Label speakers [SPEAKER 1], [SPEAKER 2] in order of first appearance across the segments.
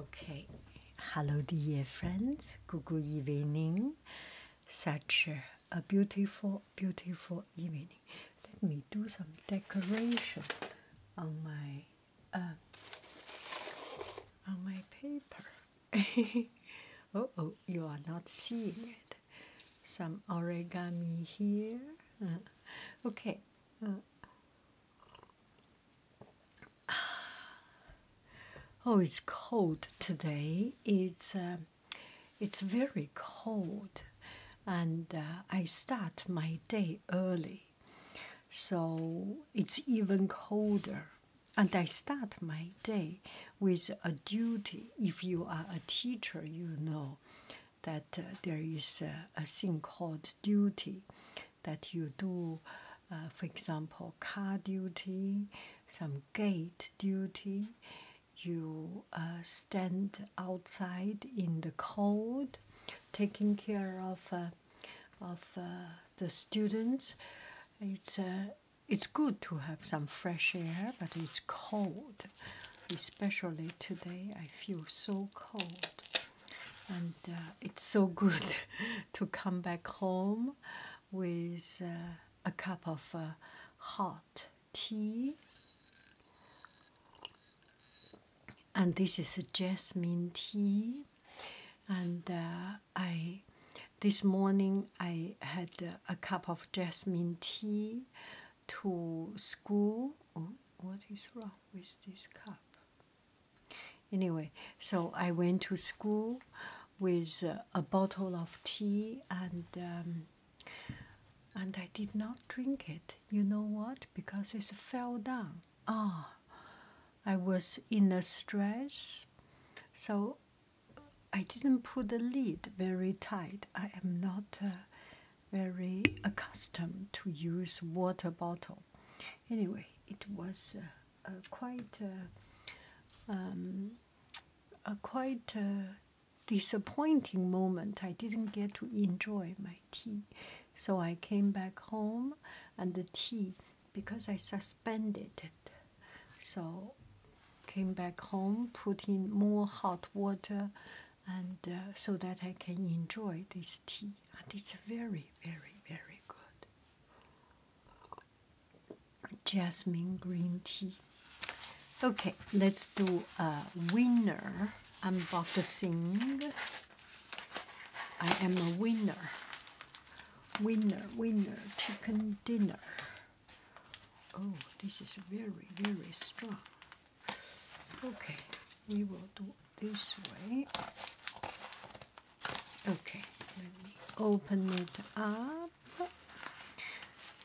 [SPEAKER 1] Okay, hello, dear friends. Good evening. Such a beautiful, beautiful evening. Let me do some decoration on my uh, on my paper. oh, oh, you are not seeing it. Some origami here. Uh, okay. Uh, Oh, it's cold today. It's um, it's very cold, and uh, I start my day early, so it's even colder. And I start my day with a duty. If you are a teacher, you know that uh, there is a thing called duty that you do, uh, for example, car duty, some gate duty, you uh, stand outside in the cold, taking care of of the students. It's uh, it's good to have some fresh air, but it's cold, especially today. I feel so cold and uh, it's so good to come back home with uh, a cup of uh, hot tea. And this is a jasmine tea, and I this morning I had a cup of jasmine tea to school. Oh, what is wrong with this cup? Anyway, so I went to school with uh, a bottle of tea and um, and I did not drink it. You know what? Because it fell down. Ah, I was in a stress, so I didn't put the lid very tight. I am not. Uh, very accustomed to use water bottle. Anyway, it was quite a quite uh, um, uh, disappointing moment. I didn't get to enjoy my tea, so I came back home, and the tea because I suspended it, so came back home, put in more hot water and uh, so that I can enjoy this tea. And it's very, very, very good. Jasmine green tea. Okay, let's do a winner unboxing. I am a winner. Winner, winner, chicken dinner. Oh, this is very, very strong. Okay, we will do this way. Okay, let me open it up,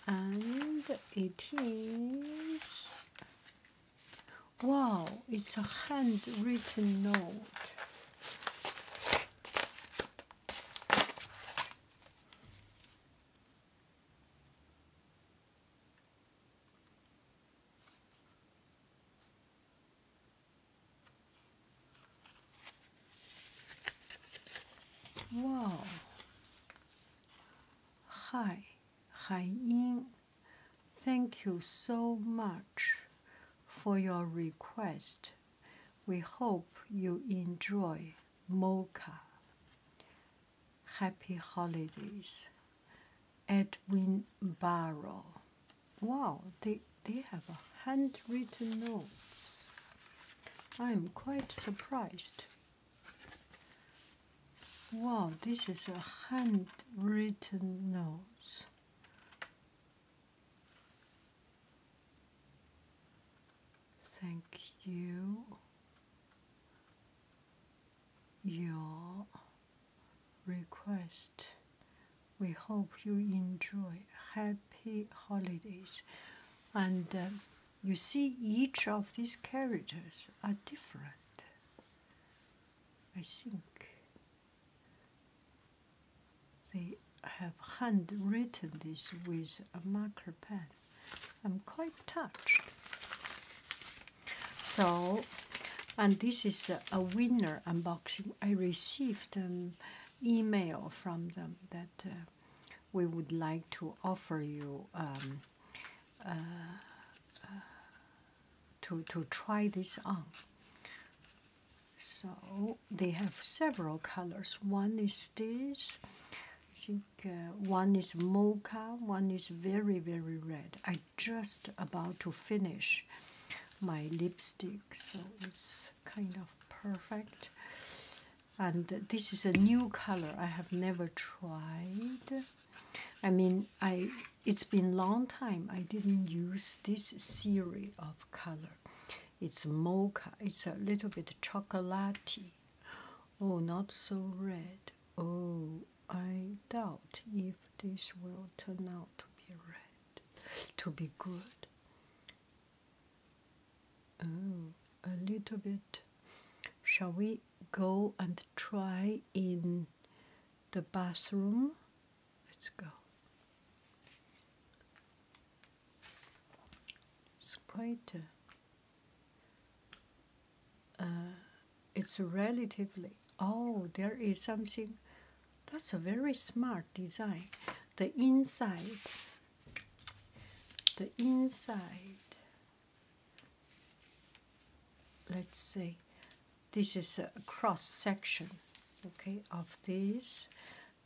[SPEAKER 1] and it is wow, it's a handwritten note. Wow. Hi, Hai Ying. Thank you so much for your request. We hope you enjoy mocha. Happy Holidays. Edwin Barrow. Wow, they, they have a handwritten notes. I'm quite surprised. Wow, this is a handwritten notes. Thank you your request. We hope you enjoy happy holidays. And um, you see, each of these characters are different. I think they have handwritten this with a marker pen. I'm quite touched so and this is a, winner unboxing i received an um, email from them that uh, we would like to offer you um, uh, uh, to to try this on so they have several colors one is this uh, one is mocha, one is very, very red. I just about to finish my lipstick, so it's kind of perfect. And this is a new color I have never tried. I mean, I it's been long time I didn't use this series of color. It's mocha. It's a little bit chocolaty. Oh, not so red. Oh, I doubt if this will turn out to be red, to be good. Oh, a little bit. Shall we go and try in the bathroom? Let's go. It's quite. Uh, uh, it's relatively oh there is something that's a very smart design the inside the inside let's see. this is a cross section okay of this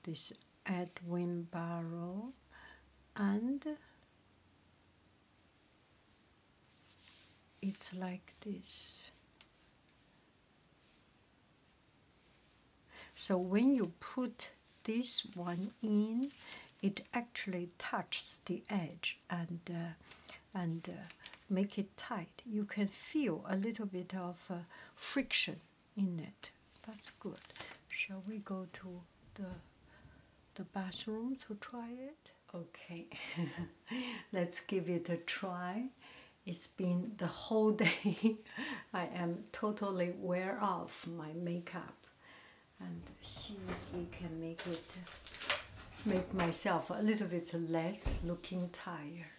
[SPEAKER 1] this Edwin Barrow and it's like this. So when you put this one in, it actually touches the edge and uh, and uh, make it tight. You can feel a little bit of uh, friction in it. That's good. Shall we go to the the bathroom to try it? Okay, let's give it a try. It's been the whole day. I am totally wear off my makeup and see if we can make it make myself a little bit less looking tired.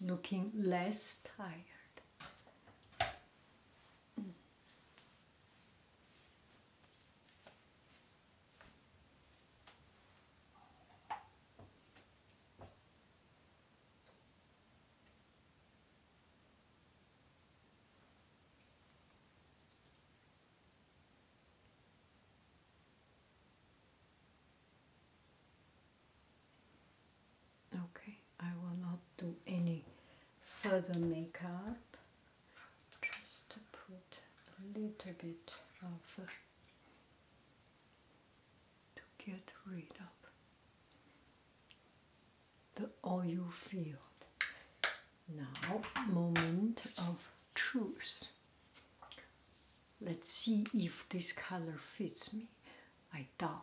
[SPEAKER 1] Looking less tired. Okay, I will not do any further makeup just to put a little bit of uh, to get rid of the oil field. Now, moment of truth. Let's see if this color fits me. I doubt.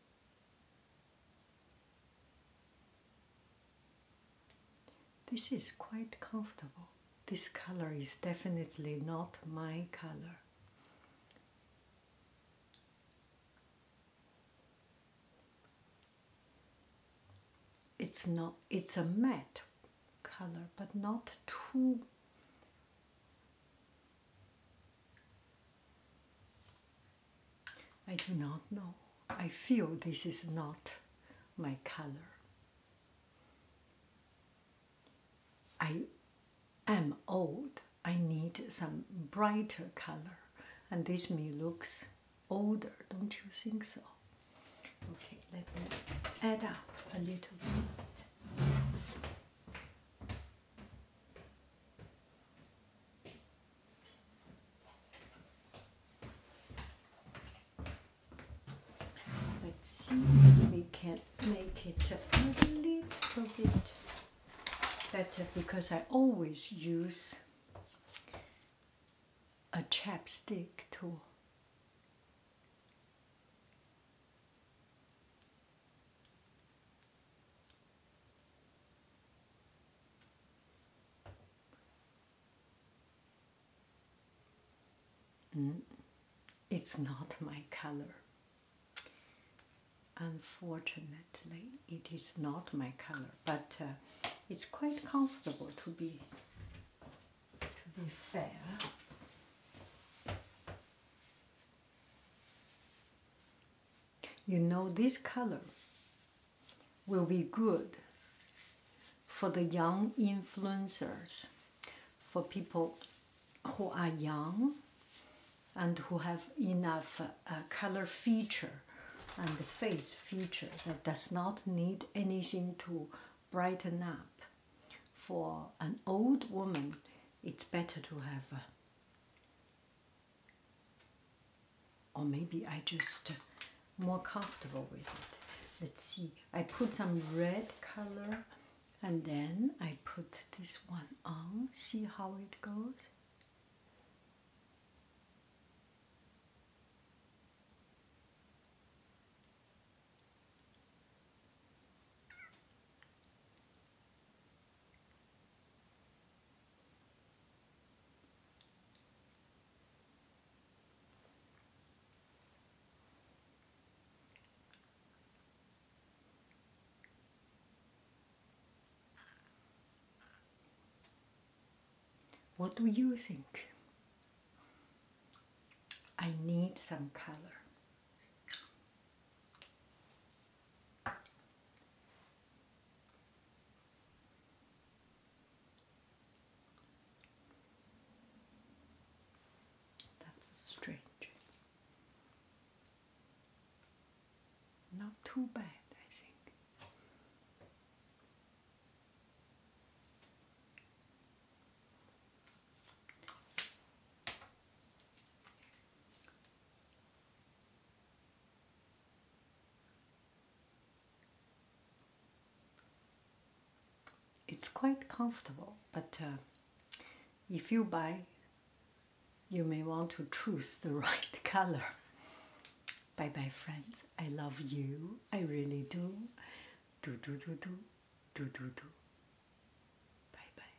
[SPEAKER 1] This is quite comfortable. This color is definitely not my color. It's not it's a matte color but not too I do not know. I feel this is not my color. I am old. I need some brighter color, and this me looks older, don't you think so? Okay, let me add up a little bit. Let's see if we can make it a little bit better because I always use a chapstick tool. Mm, it's not my color. Unfortunately, it is not my color, but uh, it's quite comfortable to be to be fair you know this color will be good for the young influencers, for people who are young and who have enough uh, color feature and face feature that does not need anything to brighten up. For an old woman, it's better to have uh, or maybe I just uh, more comfortable with it. Let's see. I put some red color and then I put this one on. See how it goes. What do you think? I need some color. That's a strange. Not too bad, I think. It's quite comfortable, but uh, if you buy, you may want to choose the right color. Bye bye, friends. I love you. I really do. Do, do, do, do. Do, do, do. Bye bye.